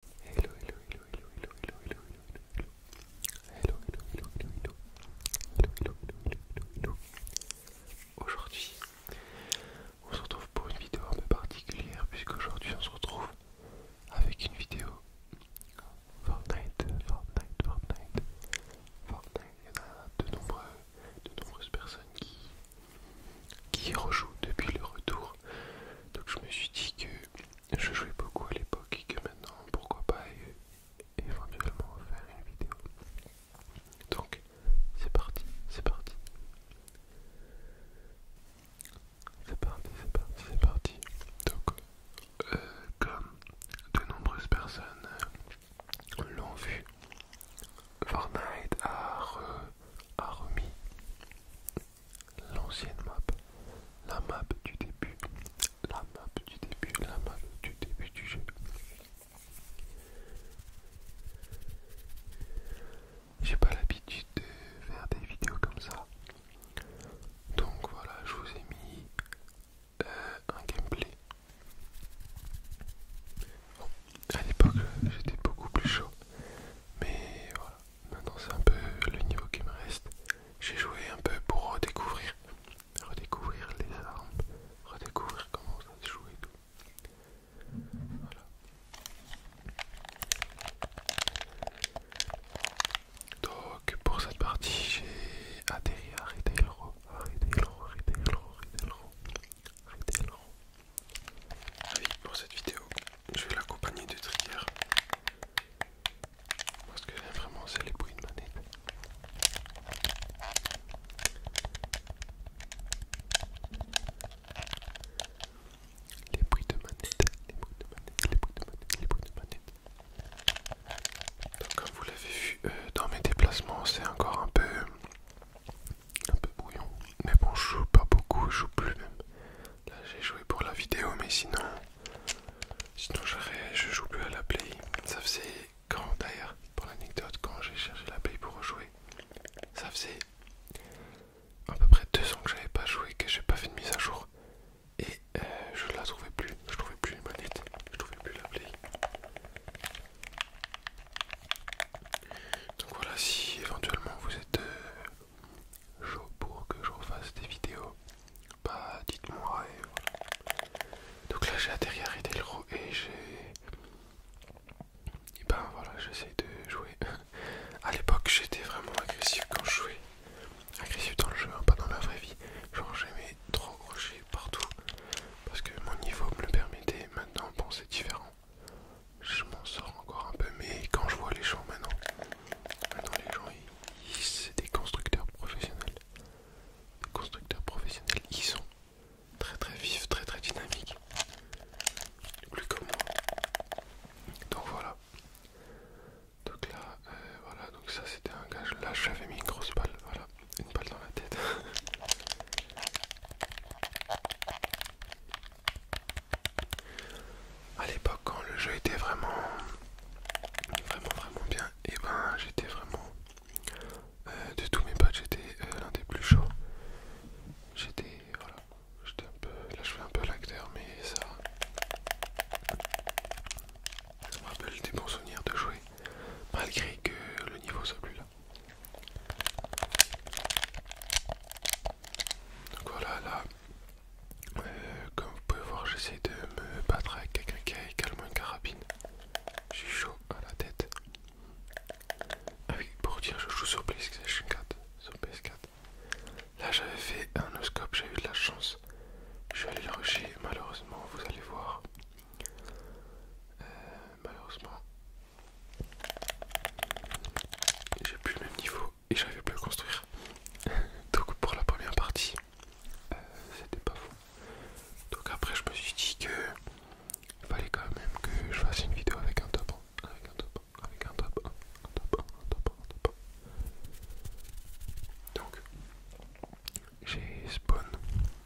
hello, hello, hello, hello, hello, hello, hello, hello, hello, hello, hello, hello, hello, hello, hello. Aujourd'hui, on se retrouve pour une vidéo un peu particulière puisqu'aujourd'hui on se retrouve avec une vidéo Fortnite, Fortnite, Fortnite, Fortnite. Il y en a de, nombreux, de nombreuses personnes qui, qui rejouent depuis le retour. Donc je me suis dit que je jouais beaucoup à l'époque et que maintenant, pourquoi pas éventuellement faire une vidéo. Donc, c'est parti, c'est parti. C'est parti, c'est parti, c'est parti. Donc, euh, comme de nombreuses personnes euh, l'ont vu, Fortnite a remis l'ancienne map, la map du début, la map du début, la map du début du jeu. J'ai pas l'habitude de faire des vidéos comme ça. Donc voilà, je vous ai mis euh, un gameplay. à l'époque j'étais beaucoup plus chaud. Mais voilà, Maintenant c'est un peu le niveau qui me reste. J'ai joué un peu pour redécouvrir. Redécouvrir les armes. Redécouvrir comment ça se joue et tout. Voilà. Donc pour cette partie j'ai atterri à Retailro. Retailro, à Retailro. Retailro. Oui, pour cette vidéo, je vais l'accompagner de trigger. Parce que vraiment c'est les bruits de manette. Les bruits de manette, les bruits de manette, les bruits de manette, les bruits de manette. Donc comme vous l'avez vu euh, dans mes déplacements, c'est encore un peu un peu bouillon Mais bon, je joue pas beaucoup, je joue plus même. Là j'ai joué pour la vidéo mais sinon sinon je joue plus à la play. Ça faisait quand d'ailleurs pour l'anecdote quand j'ai cherché la play pour rejouer. Ça faisait à peu près deux ans que j'avais pas joué, que j'ai pas fait de mise à jour. Et euh, je la trouvais plus, je trouvais plus une manette, je trouvais plus la play. Donc voilà si éventuellement vous êtes euh, pour que je refasse des vidéos, bah dites-moi et voilà. Donc là j'ai atterri à roi et j'ai... Et ben voilà, j'essaie de jouer. à l'époque j'étais vraiment agressif quand je jouais. Agressif dans le jeu, hein, pas dans la vraie vie. Genre j'aimais trop rocher partout. Parce que mon niveau me le permettait. Maintenant bon c'est différent. Je m'en sors encore un peu mais quand je vois les gens maintenant les gens, ils, c'est des constructeurs professionnels. constructeurs professionnels, ils sont très très vifs, très très dynamiques. Plus que moi. Donc voilà. Donc là, euh, voilà, donc ça c'était un gage. Là, j'avais mis une grosse balle, voilà, une balle dans la tête. à l'époque quand le jeu était vraiment vraiment bien et eh ben j'étais vraiment euh, de tous mes potes j'étais euh, l'un des plus chauds j'étais voilà j'étais un peu là je fais un peu l'acteur mais ça ça me rappelle des bons souvenirs de jouer malgré que le niveau soit plus là donc voilà, là, euh, comme vous pouvez voir, j'essaie de me battre avec quelqu'un qui a également une carabine. Je suis chaud à la tête. Ah pour dire, je joue sur 4. Sur PS4. Là, j'avais fait un oscope, j'ai eu de la chance. Je suis allé le malheureusement, vous allez voir. Euh, malheureusement, j'ai plus le même niveau et j'arrivais plus à le construire. Donc pour la première partie, euh, c'était pas fou. Donc après je me suis dit que fallait quand même que je fasse une vidéo avec un top avec un top avec un top un top un top un top 1. Donc j'ai spawn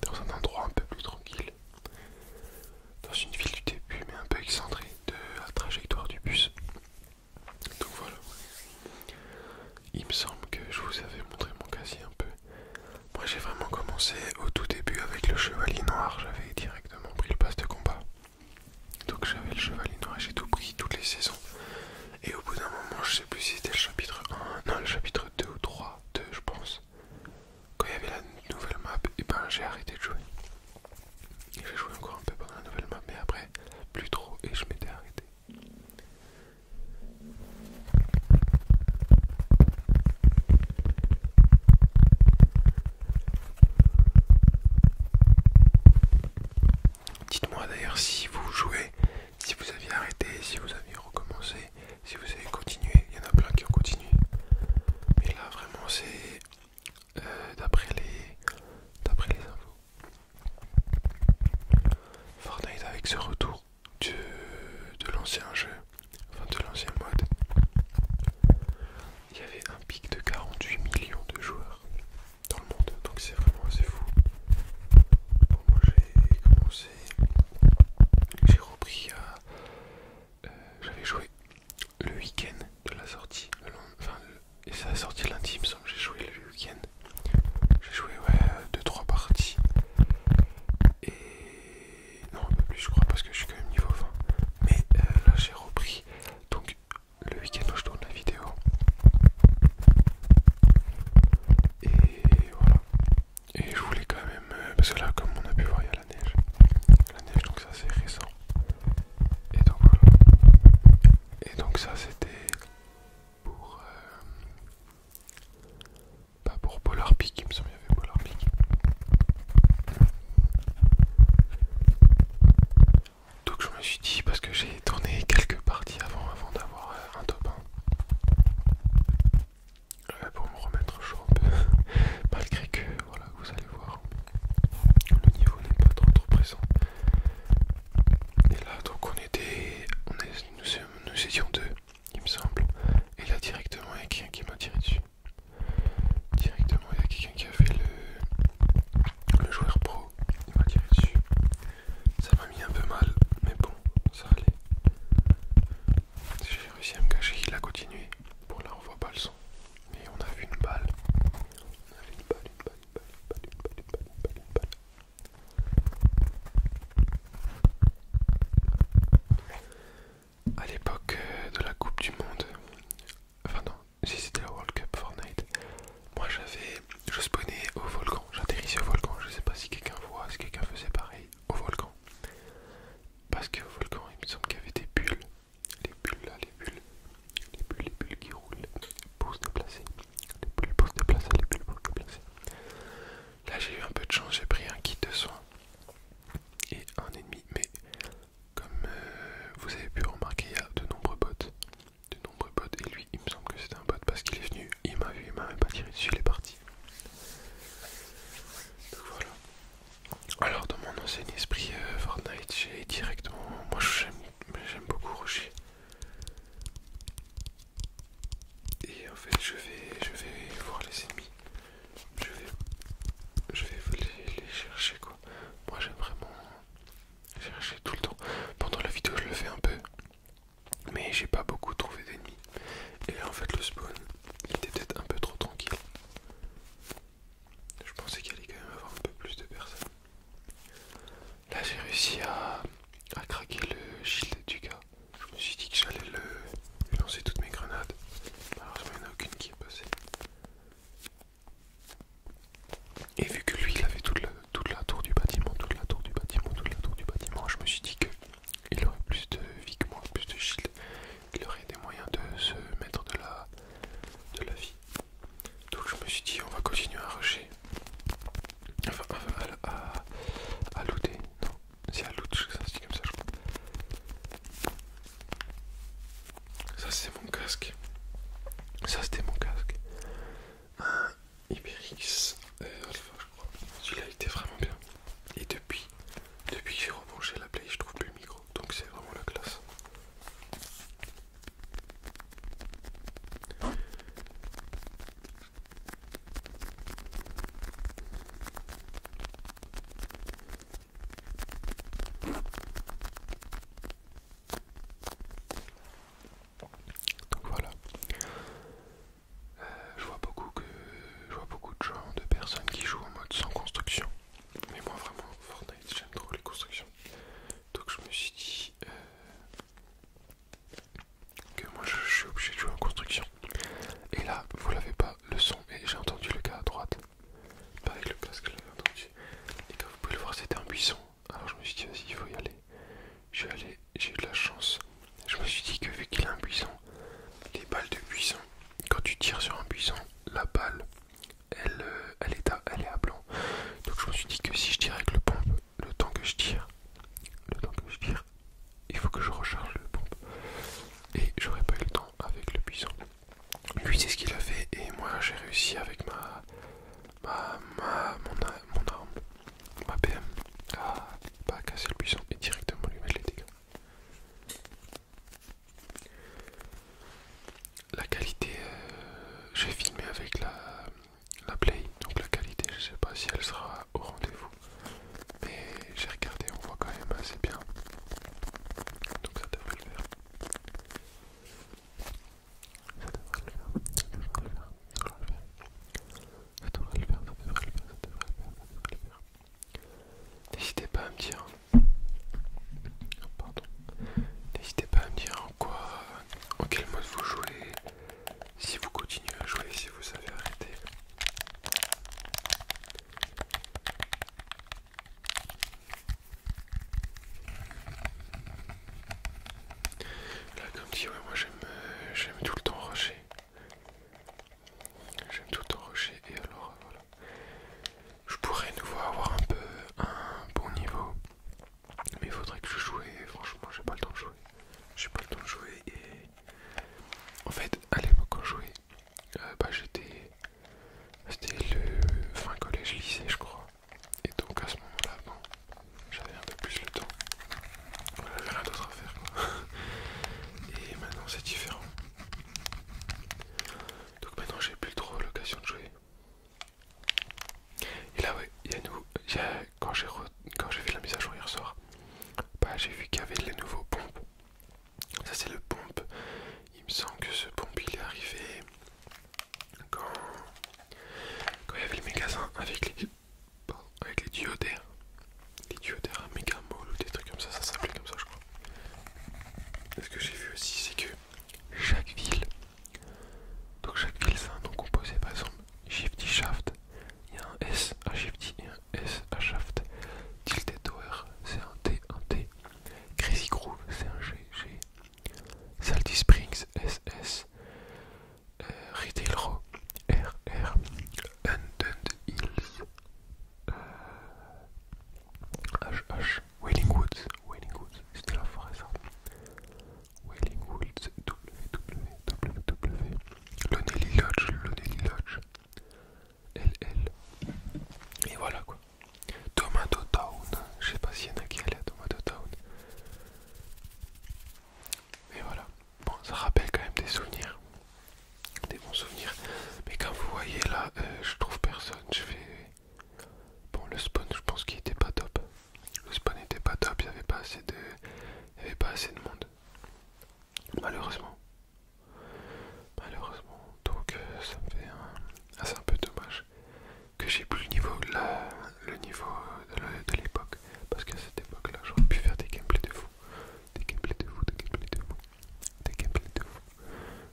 dans un endroit un peu plus tranquille, dans une ville du début mais un peu excentrée de la trajectoire du bus. Donc voilà. Il me semble que je vous avais montré mon casier un peu. Moi j'ai vraiment commencé au tout début avec le chevalier noir. J'avais directement pris le pass de combat. Donc j'avais le chevalier noir et j'ai tout pris toutes les saisons. Et au bout d'un moment, je sais plus si c'était le chapitre 1, non le chapitre 2 ou 3, 2 je pense. Quand il y avait la nouvelle map, et eh ben j'ai arrêté de jouer j'ai joué encore un peu pendant la nouvelle map, mais après, plus trop, et je m'étais arrêté. Dites-moi d'ailleurs si vous jouez, si vous aviez arrêté, si vous aviez recommencé, si vous avez continué. Il y en a plein qui ont continué. Mais là, vraiment, c'est euh, d'après les, les infos. Fortnite avec ce retour de, l'ancien jeu, enfin de l'ancien mode, il y avait un pic de 48 millions de joueurs dans le monde, donc c'est vraiment assez fou. j'ai commencé, j'ai repris euh, J'avais joué le week-end de la sortie, le, et ça a sorti lundi, j'ai joué le week-end. J'ai joué ouais 2-3 euh, parties. Et non un peu plus je crois parce que je suis quand même niveau 20. Mais euh, là j'ai repris. Donc le week-end où je tourne la vidéo. Et voilà. Et je voulais quand même. Euh, parce que là comme on a pu voir il y a la neige. La neige donc ça c'est récent. Et donc voilà. Et donc ça c'était pour euh, pas pour Polar Peak, il me semble qu'il y avait Polar Peak. Donc je me suis dit parce que j'ai tourné quelques parties avant avant d'avoir euh, un top euh, pour me remettre chaud un peu malgré que voilà vous allez voir le niveau n'est pas trop trop présent et là, donc on était. On est, nous, étions deux, il me semble. Et là, directement, il y a quelqu'un qui m'a tiré dessus. Directement, il y a quelqu'un qui a fait le, le joueur pro. Il m'a tiré dessus. Ça m'a mis un peu mal, mais bon, ça allait. J'ai réussi à me cacher, il a continué. Bon, là, on voit pas le son. Mais on a vu une balle. On a vu une balle, une balle. À l'époque euh, de la Coupe du Monde, enfin non, si c'était la World Cup Fortnite, moi j'avais, je spawnais au volcan, j'atterrissais au volcan, je sais pas si quelqu'un voit, si quelqu'un faisait pareil, au volcan. Parce qu'au volcan, il me semble qu'il y avait des bulles, les bulles là, les bulles, les bulles, les bulles qui roulent pour se déplacer les plus beaux se déplacer, les plus beaux Là j'ai eu un peu de chance, j'ai pris un kit de soins et un ennemi, mais comme euh, vous avez pu remarquer, il y a de nombreux bots. De nombreux bots, et lui il me semble que c'était un bot parce qu'il est venu, il m'a vu, il m'a même pas tiré dessus, il est parti. Donc voilà. Alors dans mon ancien esprit euh, Fortnite, j'ai directement... Moi j'aime beaucoup rougir. Et en fait, je vais, je vais voir les ennemis. Je vais, je les, chercher quoi. Moi, j'aime vraiment chercher tout le temps. Pendant la vidéo, je le fais un peu, mais j'ai pas beaucoup trouvé d'ennemis. Et en fait, le spawn, était peut-être un peu trop tranquille. Je pensais qu'il allait quand même avoir un peu plus de personnes. Là j'ai réussi à, craquer le shield du gars. Je me suis dit que j'allais le lancer toutes mes grenades. Malheureusement il n'y aucune qui est passée. Et vu que lui il avait toute la, tour du bâtiment, toute la tour du bâtiment, toute la tour du bâtiment, je me suis dit qu'il aurait plus de vie que moi, plus de shield. Il aurait des moyens de se mettre de la vie. Donc je me suis dit, on va continuer à rusher. Enfin, à, looter. Non, c'est à loot, ça comme ça, je crois. Ça, c'est mon casque. Ça, c'était mon casque. Un Iberix euh, Alpha, je crois. vraiment bien. Et depuis, depuis que j'ai rebranché la play, je trouve plus le micro. Donc, c'est vraiment la classe. Donc voilà. Euh, je vois beaucoup que je vois beaucoup de gens, de personnes qui jouent en mode sans construction. Mais moi vraiment Fortnite j'aime trop les constructions. Donc je me suis dit euh, que moi je, suis obligé de jouer en construction. Et là, vous l'avez pas le son, et j'ai entendu le gars à droite. Pas avec le casque, je l'avais entendu. Et comme vous pouvez le voir, c'était un buisson. Alors je me suis dit, vas-y, il faut y aller. J'ai allé, j'ai eu de la chance. Je me suis dit que vu qu'il a un buisson, les balles de buisson, quand tu tires sur un buisson, la balle, elle, euh, elle, est, à, elle est à blanc. Donc je me suis dit que si je tirais avec le pompe, le temps que je tire, le temps que je tire, il faut que je recharge le pompe. Et j'aurais pas eu le temps avec le puissant. Lui c'est ce qu'il a fait et moi j'ai réussi avec ma, ma, ma mon, mon arme, ma PM à pas casser le puissant et directement lui mettre les dégâts. La qualité, euh, j'ai filmé avec la la play, donc la qualité, je sais pas si elle sera au rendez-vous, mais j'ai regardé, on voit quand même assez bien, donc ça devrait le faire. Ça devrait le faire, ça devrait le faire, ça devrait le faire, N'hésitez pas à me dire, hein. oh, pardon, n'hésitez pas à me dire en quoi, en quel mode vous jouez, si vous continuez à jouer, si vous avez arrêté... Là comme si ouais, moi j'aime euh, j'aime tout le temps rocher. J'aime tout le temps rocher et alors voilà. Je pourrais nouveau avoir un peu un bon niveau. Mais il faudrait que je joue et franchement j'ai pas le temps de jouer. J'ai pas le temps de jouer et en fait à l'époque où je jouais euh, bah j'étais c'était le fin collège lycée je crois et donc à ce moment là bon j'avais un peu plus le temps. j'avais rien d'autre à faire quoi. Et maintenant c'est différent. Donc maintenant j'ai plus trop l'occasion de jouer. Et là, ouais, il y a nous, y quand j'ai fait la mise à jour hier soir, bah, j'ai vu qu'il y avait les nouveaux pompes. Ça, c'est le pompe. Il me semble que ce pompe il est arrivé quand quand il y avait les magasin avec les, avec les duodères. Les diodaires à méga mall ou des trucs comme ça, ça s'appelait comme ça, je crois. ce que j'ai vu aussi, c'est que chaque ville donc chaque ville c'est un nom composé, par exemple Shifty Shaft, il y a un S à Shifty un S à Shaft. Tilted Tower c'est un T, un T. Crazy Groove c'est un G, G. Salty Springs S, S. Euh, Retail Row R, R. Undund Hills euh, H, H. Wailing Woods, Wailing Woods, c'était la forêt ça. Wailing Woods, www, Lonely Lodge, Lonely Lodge, LL. Et voilà quoi. Tomato Town, je sais pas s'il y en a qui allaient à Tomato Town. Mais voilà, bon, ça rappelle quand même des souvenirs, des bons souvenirs. Mais quand vous voyez là, euh, je trouve personne. Je fais Bon, le spawn, je pense qu'il était pas top le spawn n'était pas top, il n'y avait, avait pas assez de monde. Malheureusement. Malheureusement. Donc euh, ça me fait un... Ah, un peu dommage que j'ai plus le niveau, le niveau de l'époque. Parce qu'à cette époque-là, j'aurais pu faire des gameplays de fou. Des gameplays de fou, des gameplays de fou. Des gameplays de fou.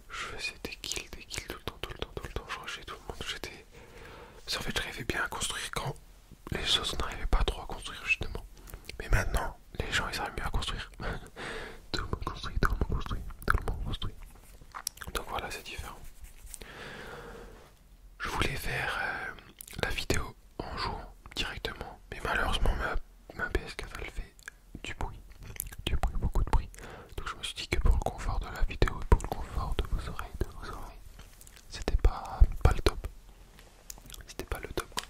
Je faisais des kills, des kills tout le temps, tout le temps, tout le temps. Je rushais tout le monde. J'étais... En fait, j'arrivais bien à construire quand les choses n'arrivaient pas trop à construire justement. Mais maintenant, les gens ils arrivent mieux à construire. tout le monde construit, tout le monde construit, tout le monde construit. Donc voilà, c'est différent. Je voulais faire euh, la vidéo en jour directement, mais malheureusement ma, ma ps elle fait du bruit, du bruit, beaucoup de bruit. Donc je me suis dit que pour le confort de la vidéo et pour le confort de vos oreilles, de vos oreilles, c'était pas, pas le top. C'était pas le top.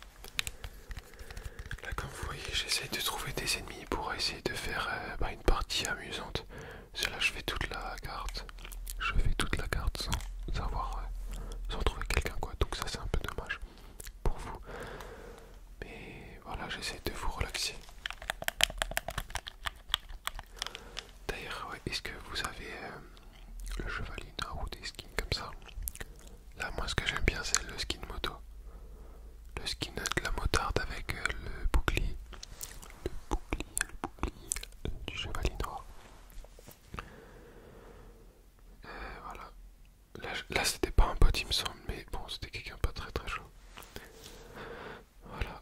Là, comme vous voyez, j'essaye de trouver des ennemis pour essayer de faire euh, bah, une partie amusante. Parce là, je fais toute la carte. Je fais toute la carte sans avoir, euh, sans trouver quelqu'un quoi. Donc ça, c'est un peu dommage pour vous. Mais voilà, j'essaie de vous relaxer. D'ailleurs, est-ce que vous avez euh, le chevalier noir ou des skins comme ça Là, moi, ce que j'aime bien, c'est le skin moto. Le skin de la motarde avec euh, le bouclier. Le bouclier, euh, du chevalier noir. voilà. Là, c'était pas un pote, il me semble, mais bon, c'était quelqu'un pas très très chaud. Voilà.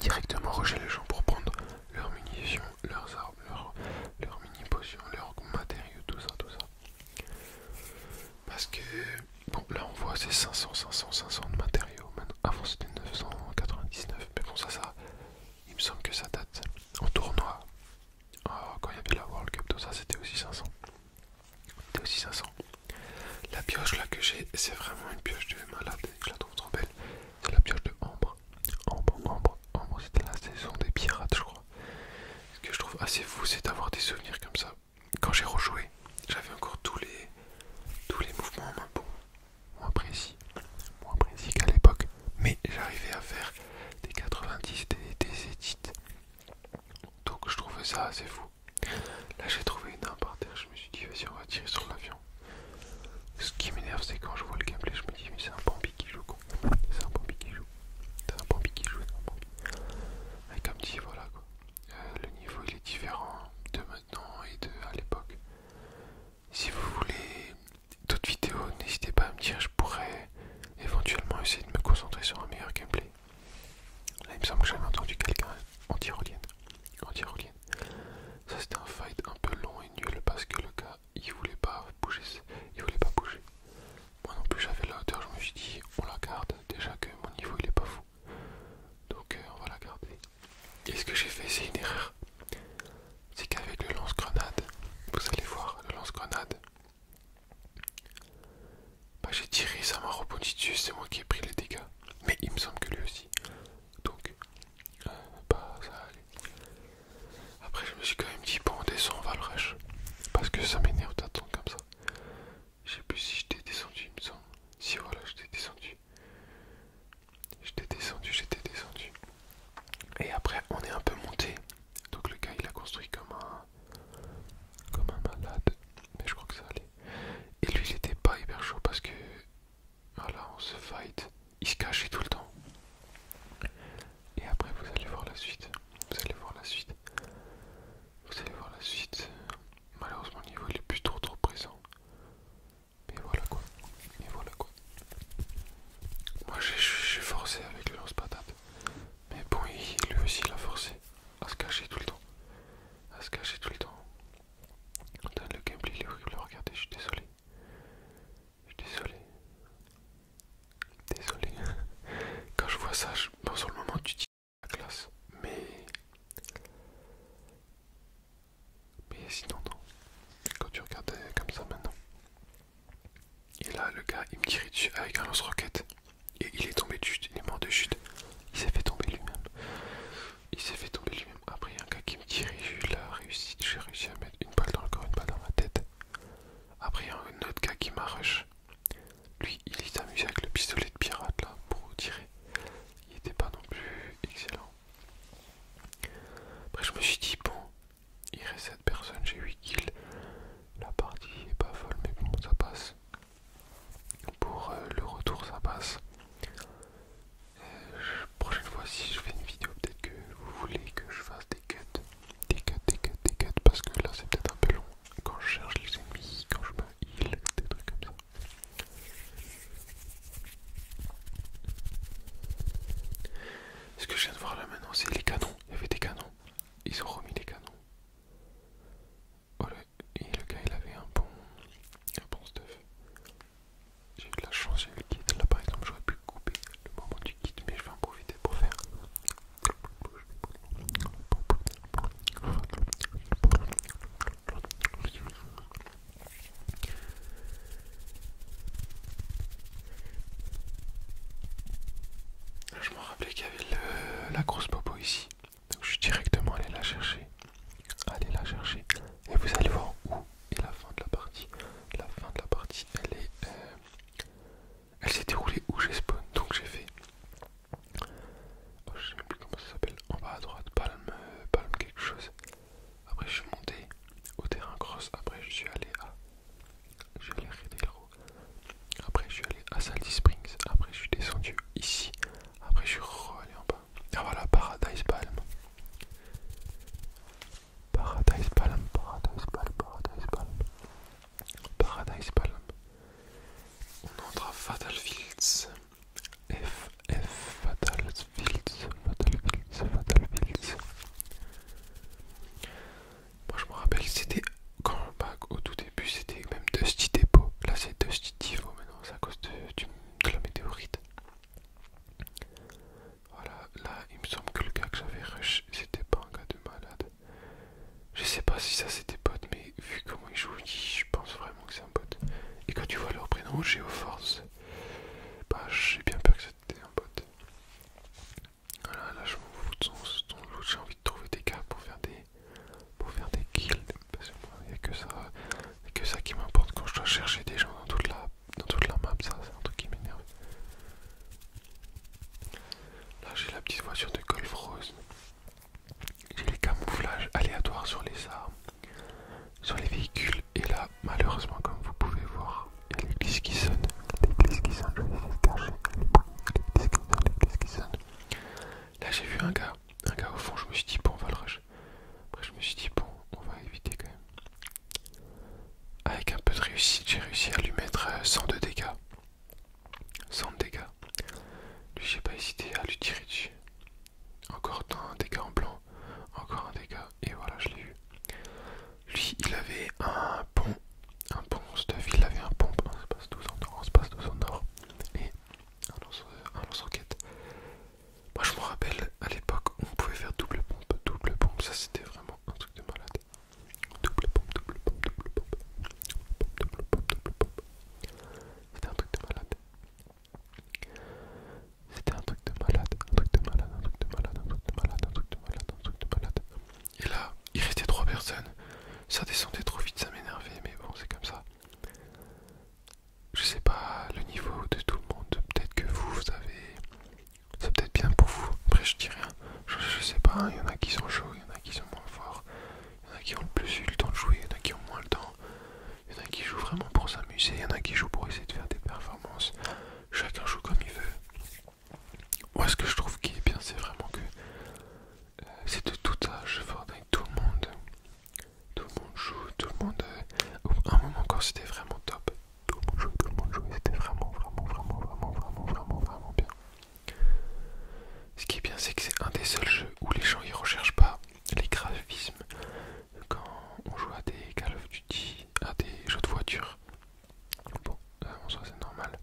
directement rocher les gens pour prendre leurs munitions, leurs armes, leurs, mini potions, leurs matériaux, tout ça, tout ça. Parce que, bon, là on voit c'est 500, 500, 500 de matériaux. avant c'était 999, mais bon, ça, ça, il me semble que ça date en tournoi. Ah, quand il y avait la World Cup, tout ça, c'était aussi 500. C'était aussi 500. La pioche là que j'ai, c'est vraiment une pioche de malade, je la trouve trop belle. C'est la pioche de Ambre. Ambre, Ambre, Ambre, c'était la saison des pirates, je crois. Ce que je trouve assez fou, c'est d'avoir des souvenirs comme ça. Quand j'ai rejoué, j'avais encore tous les, tous les mouvements moins précis, moins précis qu'à l'époque. Mais j'arrivais à faire des 90, des, des Donc je trouvais ça assez fou. Là j'ai trouvé une arme par terre, je me suis dit vas-y on va tirer sur l'avion. Ce qui m'énerve, c'est quand je vois le gameplay, je me dis, mais c'est un Bambi qui joue, quoi. C'est un Bambi qui joue. C'est un Bambi qui joue, c'est un comme dit, voilà, quoi. Euh, le niveau, il est différent de maintenant et de à l'époque. Si vous voulez d'autres vidéos, n'hésitez pas à me dire, je pourrais éventuellement essayer de me concentrer sur un meilleur gameplay. Là, il me semble que j'avais entendu quelqu'un en tyrolienne. Ça c'était un fight un peu long et nul parce que le gars il voulait pas bouger. Il voulait pas bouger. Moi non plus j'avais la hauteur, je me suis dit on la garde, déjà que mon niveau il est pas fou. Donc euh, on va la garder. Et ce que j'ai fait c'est une erreur. C'est qu'avec le lance-grenade, vous allez voir, le lance-grenade. Bah j'ai tiré, ça m'a rebondi dessus, c'est moi qui ai pris les dégâts. Mais il me semble que lui aussi donc euh, bah, ça Après, je me suis quand même dit, bon, on descend, on va le rush parce que ça m'énerve d'attendre comme ça. Je sais plus si j'étais descendu, il me semble. Si voilà, j'étais descendu. J'étais descendu, j'étais descendu. Et après, on est un peu monté. Donc le gars, il a construit comme un comme un malade. Mais je crois que ça allait. Et lui, il était pas hyper chaud parce que voilà, on se fight. Il se cachait tout le temps. Et après, vous allez voir la suite. Vous allez voir la suite. Vous allez voir la suite. Malheureusement, niveau il est plus trop trop présent. Mais voilà quoi. Mais voilà quoi. Moi, je suis forcé avec le lance-patate. Mais bon, lui aussi, il a forcé à se cacher tout le temps. À se cacher tout le temps. Donne le gameplay, il est horrible. Regardez, je suis désolé. Je suis désolé. Désolé. Quand je vois ça, je... pense sur le moment, tu dis la classe. Mais. Mais sinon, non. Quand tu regardes euh, comme ça maintenant. Et là, le gars, il me tirait dessus avec un lance-roquette. Et il est tombé de chute, il est mort de chute. Il s'est fait tomber lui-même. Il s'est fait tomber lui-même. Après, un gars qui me tirait, j'ai la réussite. J'ai réussi à mettre une balle dans le corps, une balle dans ma tête. Après, un autre gars qui m'a rush. Lui, il s'est amusé avec le pistolet de pirate là pour tirer. Il était pas non plus excellent. Après, je me suis dit, bon, il reste cette personne, j'ai 8 kills. La partie est pas folle, mais bon, ça passe. Pour euh, le retour, ça passe prochaine fois, si je fais une vidéo, peut-être que vous voulez que je fasse des cuts, des cuts, des cuts, des cuts, parce que là c'est peut-être un peu long. Quand je cherche les ennemis, quand je me heal, des trucs comme ça. Ce que je viens de voir là maintenant, c'est les canons. Il y avait des canons. Ils ont remis des canons. Et le gars, il avait un bon, un bon stuff. J'ai eu de la chance, j'ai eu le kit. Là par exemple, j'aurais pu couper le moment du kit, mais je vais en profiter pour faire. Je me rappelais qu'il y avait la grosse popo ici, donc je suis directement allé la chercher. Allez la chercher, et vous allez voir où et la fin de la partie. La fin de la partie, elle est, euh, elle s'est déroulée où j'ai spawn. Donc j'ai fait, oh, je sais plus comment ça s'appelle, en bas à droite, palme, palme quelque chose. Après je suis monté au terrain cross. Après je suis allé à, je suis allé à Après je suis allé à Salty Springs. Après je suis descendu ici. Après je suis re-allé en bas. Ah voilà, Paradise Palm. Paradise Palm, Paradise Palm, Paradise Palm. Paradise Palm. On entre à Fatal Fields. F, F, Fatal Fields, Fatal Fields, Fatal Fields. Moi je me rappelle, c'était quand bah, au tout début c'était même Dusty Depot. Là c'est Dusty Divo, mais c'est à cause de la météorite. Voilà, là il me semble que le gars que j'avais rush, c'était pas un gars de malade. Je sais pas si ça c'était bot, mais vu comment il joue, je pense vraiment que c'est un bot. Et quand tu vois leur prénom, Geoforce, bah j'ai bien peur que c'était un bot. Voilà, là je m'en fous de son, loot, j'ai envie de trouver des gars pour faire des, pour faire des kills. Parce que moi, il a que ça, que ça qui m'importe quand je dois chercher des gens dans toute la dans toute la map, ça c'est un truc qui m'énerve. Là j'ai la petite voiture de Golf Rose. J'ai les camouflages aléatoires sur les armes, sur les véhicules. Et là, malheureusement, comme vous pouvez voir, il y a glisses qui Des glisses qui sonnent, je vais les cacher. qui qui sonnent. Là j'ai vu un gars, un gars au fond, je me suis dit bon on va le après, je me suis dit, bon, on va éviter quand même. Avec un peu de réussite, j'ai réussi à lui mettre 102 euh, dégâts. 100 dégâts. Lui, j'ai pas hésité à lui tirer dessus. Encore un dégât en blanc, encore un dégât, et voilà, je l'ai eu. Lui, il avait un pont, un pont stuff, il avait un pont, un espace 12 en or, espace 12 en or, et un lance-roquette. Moi je me rappelle à l'époque on pouvait faire double pompe, double pompe, ça c'était vraiment un truc de malade. Double pompe, double pompe, double pompe, double pompe, double pompe. C'était un truc de malade. C'était un truc de malade, un truc de malade, un truc de malade, un truc de malade, un truc de malade, un truc de malade. Et là, il restait trois personnes. Ça descendait trop vite, ça m'énervait, mais bon, c'est comme ça je sais pas le niveau de tout le monde. Peut-être que vous, vous avez. C'est peut-être bien pour vous. Après, je dis rien. Je, sais pas. Hein, il y en a qui sont chauds, il y en a qui sont moins forts. Il y en a qui ont le plus eu le temps de jouer, il y en a qui ont moins le temps. Il y en a qui jouent vraiment pour s'amuser, il y en a qui jouent pour essayer de faire des performances. Chacun joue comme il veut. Moi, ce que je trouve qui est bien, c'est vraiment que euh, c'est de tout âge, avec tout le monde. Tout le monde joue, tout le monde. Euh, un moment, quand c'était vraiment top, tout le monde jouait, tout le monde c'était vraiment, vraiment, vraiment, vraiment, vraiment, vraiment, vraiment bien. Ce qui est bien, c'est que c'est un des seuls jeux où les gens ils recherchent pas les graphismes quand on joue à des Call of Duty, à des jeux de voiture. Bon, en soi c'est normal,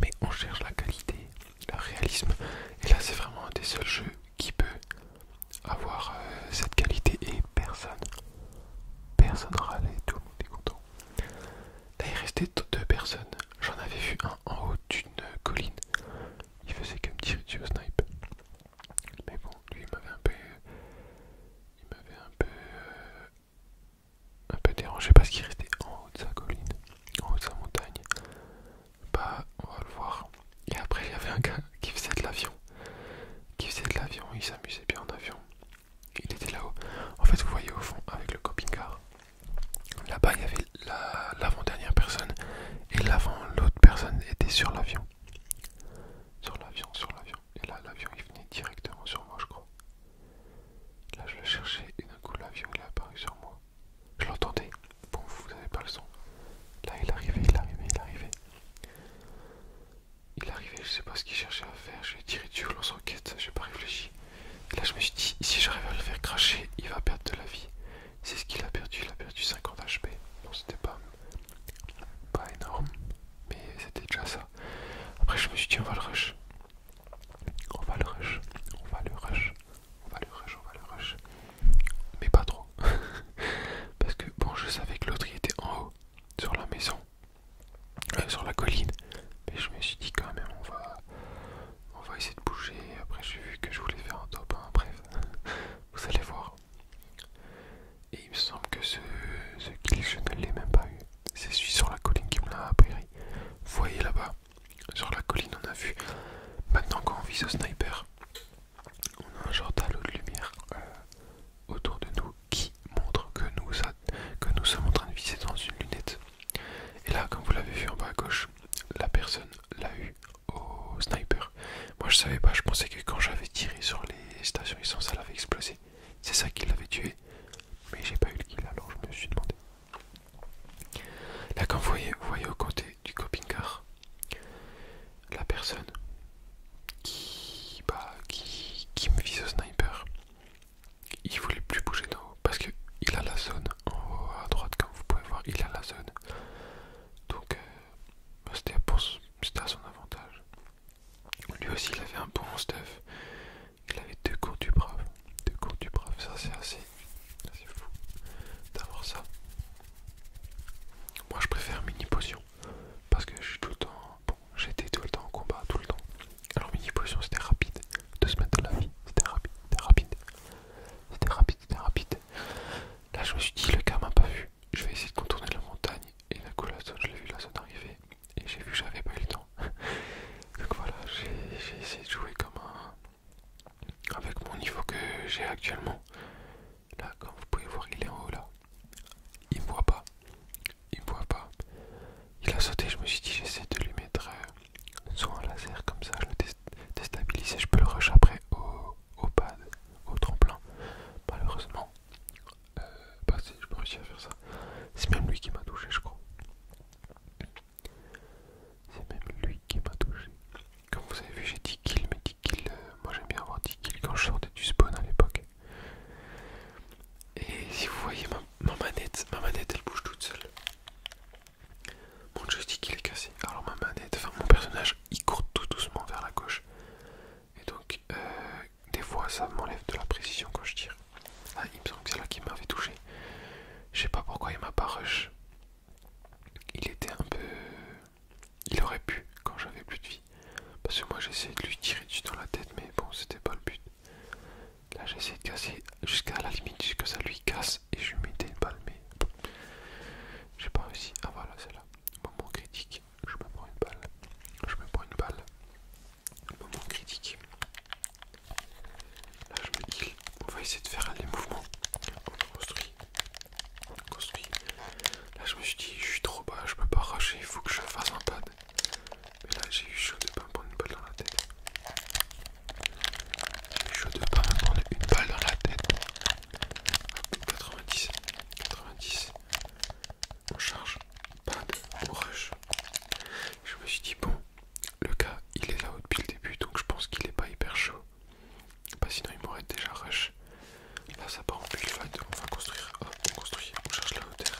mais on cherche la qualité, le réalisme, et là c'est vraiment un des seuls jeux qui peut avoir euh, cette qualité et personne, personne râlait, tout le monde est content. Là, il restait deux personnes. J'en avais vu un en haut d'une colline. Il faisait comme petit tirer snipe. Mais bon, lui, il m'avait un peu. Il m'avait un peu. Euh, un peu dérangé parce qu'il restait en haut de sa colline, en haut de sa montagne. Bah, on va le voir. Et après, il y avait un gars qui faisait de l'avion qui faisait de l'avion, il s'amusait bien en avion. Il était là-haut. En fait, vous voyez au fond avec le coping-car. Là-bas, il y avait l'avant-dernière personne et l'avant, l'autre personne était sur l'avion. Sur l'avion, sur l'avion. Et là, l'avion, il venait directement sur moi, je crois. Là, je le cherchais et d'un coup, l'avion, il est apparu sur moi. Je l'entendais. Bon, vous n'avez pas le son. Là, il arrivait, il arrivait, il arrivait il arrivait, je sais pas ce qu'il cherchait à faire, j'ai tiré dessus lance enquête, j'ai pas réfléchi. Et là je me suis dit, si j'arrive à le faire cracher, il va perdre de la vie. C'est ce qu'il a perdu, il a perdu 50 HP. Bon c'était pas, pas énorme, mais c'était déjà ça. Après je me suis dit on va le rush. On va le rush, on va le rush, on va le rush, on va le rush. Mais pas trop. Parce que bon je savais que l'autre il était en haut sur la maison, euh, sur la colline. Mais je me suis dit quand même, on va, on va essayer de bouger. Après, j'ai vu que je voulais faire un top Bref, vous allez voir. Et il me semble que ce, kill, je ne l'ai même pas eu. C'est celui sur la colline qui me l'a appris. Vous voyez là-bas, sur la colline, on a vu. Maintenant, quand on vise au sniper, on a un genre d'halo de lumière euh, autour de nous qui montre que nous, sommes en train de viser dans une lunette. Et là, comme vous l'avez vu en bas à gauche, la personne l'a eu au sniper. Moi je savais pas, je pensais que quand j'avais tiré sur les stations essence, ça avait explosé. C'est ça qui l'avait tué, mais j'ai pas eu le kill alors je me suis demandé. Là, quand vous voyez, vous voyez au côté du coping car, la personne qui, bah, qui, me vise au sniper, il voulait plus bouger d'en haut parce il a la zone en haut à droite, comme vous pouvez voir, il a la zone. Donc euh, bah, c'était à son avantage. Lui aussi, il avait un bon stuff. Il avait deux cours du brave, deux cours du brave. Ça, c'est assez, fou d'avoir ça. Moi, je préfère mini potion parce que je suis tout le temps, bon, j'étais tout le temps en combat, tout le temps. Alors mini position c'était rapide, deux semaines de la vie, c'était rapide, c'était rapide, c'était rapide, c'était rapide. Là je me suis dit le gars m'a pas vu, je vais essayer de contourner la montagne et la je l'ai vu là, ça arriver et j'ai vu que j'avais pas eu le temps. Donc voilà, j'ai essayé de jouer comme un... avec mon niveau que j'ai actuellement. Là, comme vous pouvez voir, il est en haut là. Il me voit pas. Il me voit pas. Il a sauté, je me suis dit, j'essaie de lui mettre euh, soit un laser comme ça, je le déstabilise je peux le rush après au, au pad, au tremplin. Malheureusement, euh, je peux à faire ça. C'est même lui qui m'a touché, je crois. C'est même lui qui m'a touché. Comme vous avez vu, j'ai dit kills, mais dit kills, euh, moi j'aime bien avoir 10 kills quand je sortais du spawn à l'époque. Et si vous voyez ma, manette, ma manette elle bouge toute seule. Mon joystick il est cassé. Alors ma manette, enfin mon personnage il court tout doucement vers la gauche. Et donc euh, des fois ça m'enlève de la précision quand je tire. Ah, il me semble que c'est là qui m'avait touché. Je sais pas pourquoi il m'a pas rush. Il était un peu il aurait pu quand j'avais plus de vie. Parce que moi j'essayais de lui tirer dessus dans la tête, mais bon, c'était pas le but. Là j'essayais de casser jusqu'à la limite, jusqu'à ça lui casse et je lui mettais une balle, mais j'ai pas réussi. Ah voilà, c'est là. Moment critique, je me prends une balle. Je me prends une balle. Moment critique. Là je me kill on va essayer de faire les mouvements. On construit. On construit. Là, je me suis dit, je suis trop bas, je peux pas rusher, il faut que je fasse un pad. Mais là, j'ai eu chaud de pas me prendre une balle dans la tête. J'ai eu chaud de pas me prendre une balle dans la tête. 90, 90. On charge, pad, on rush. Je me suis dit, bon, le gars, il est là depuis le début, donc je pense qu'il est pas hyper chaud. Bah, sinon, il m'aurait déjà rush. Là, ça part en On va construire. Ah, on cherche la hauteur.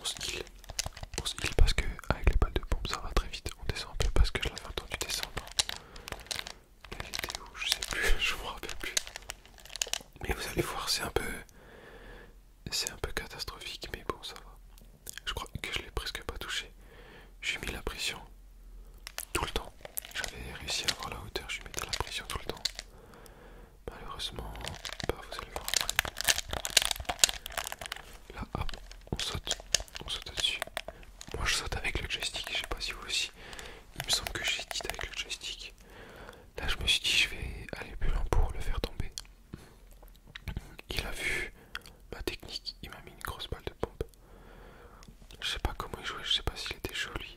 On se heal. On parce que, avec les balles de pompe, ça va très vite. On descend un peu parce que je l'avais entendu descendre. La vidéo, je sais plus, je me rappelle plus. Mais vous allez voir, c'est un peu. C'est un peu catastrophique, mais bon, ça va. Je crois que je l'ai presque pas touché. J'ai mis la pression tout le temps. J'avais réussi à avoir la hauteur, je mettais la pression tout le temps. Malheureusement, bah, vous allez voir Là, hop, on saute, on saute dessus. Moi je saute avec le joystick, je sais pas si vous aussi. Il me semble que j'ai dit avec le joystick. Là je me suis dit je vais aller plus loin pour le faire tomber. Il a vu ma technique, il m'a mis une grosse balle de pompe. Je sais pas comment il jouait, je sais pas s'il était joli,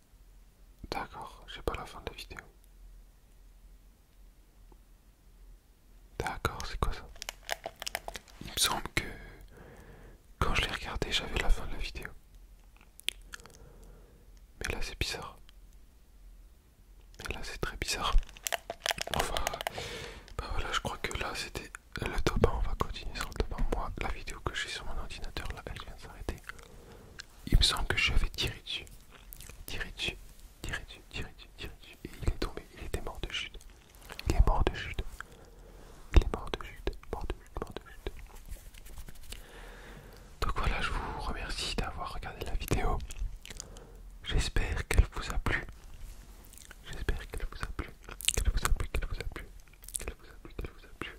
D'accord, j'ai pas la fin de la vidéo. D'accord, c'est quoi ça Il me semble que quand je l'ai regardé, j'avais la fin de la vidéo. Mais là, c'est bizarre. Mais là, c'est très bizarre. Enfin, bah voilà, je crois que là, c'était le top On va continuer sur le top Moi, la vidéo que j'ai sur mon ordinateur, là, elle vient de s'arrêter il me semble que j'avais tiré dessus, tiré dessus, tiré dessus, tiré dessus, tiré dessus, et il est tombé, il était mort de chute, il est mort de chute, il est mort de chute, mort de chute, mort de chute. Donc voilà, je vous remercie d'avoir regardé la vidéo. J'espère qu'elle vous a plu. J'espère qu'elle vous a plu, qu'elle vous a plu, qu'elle vous a plu, qu'elle vous a plu, qu'elle vous a plu.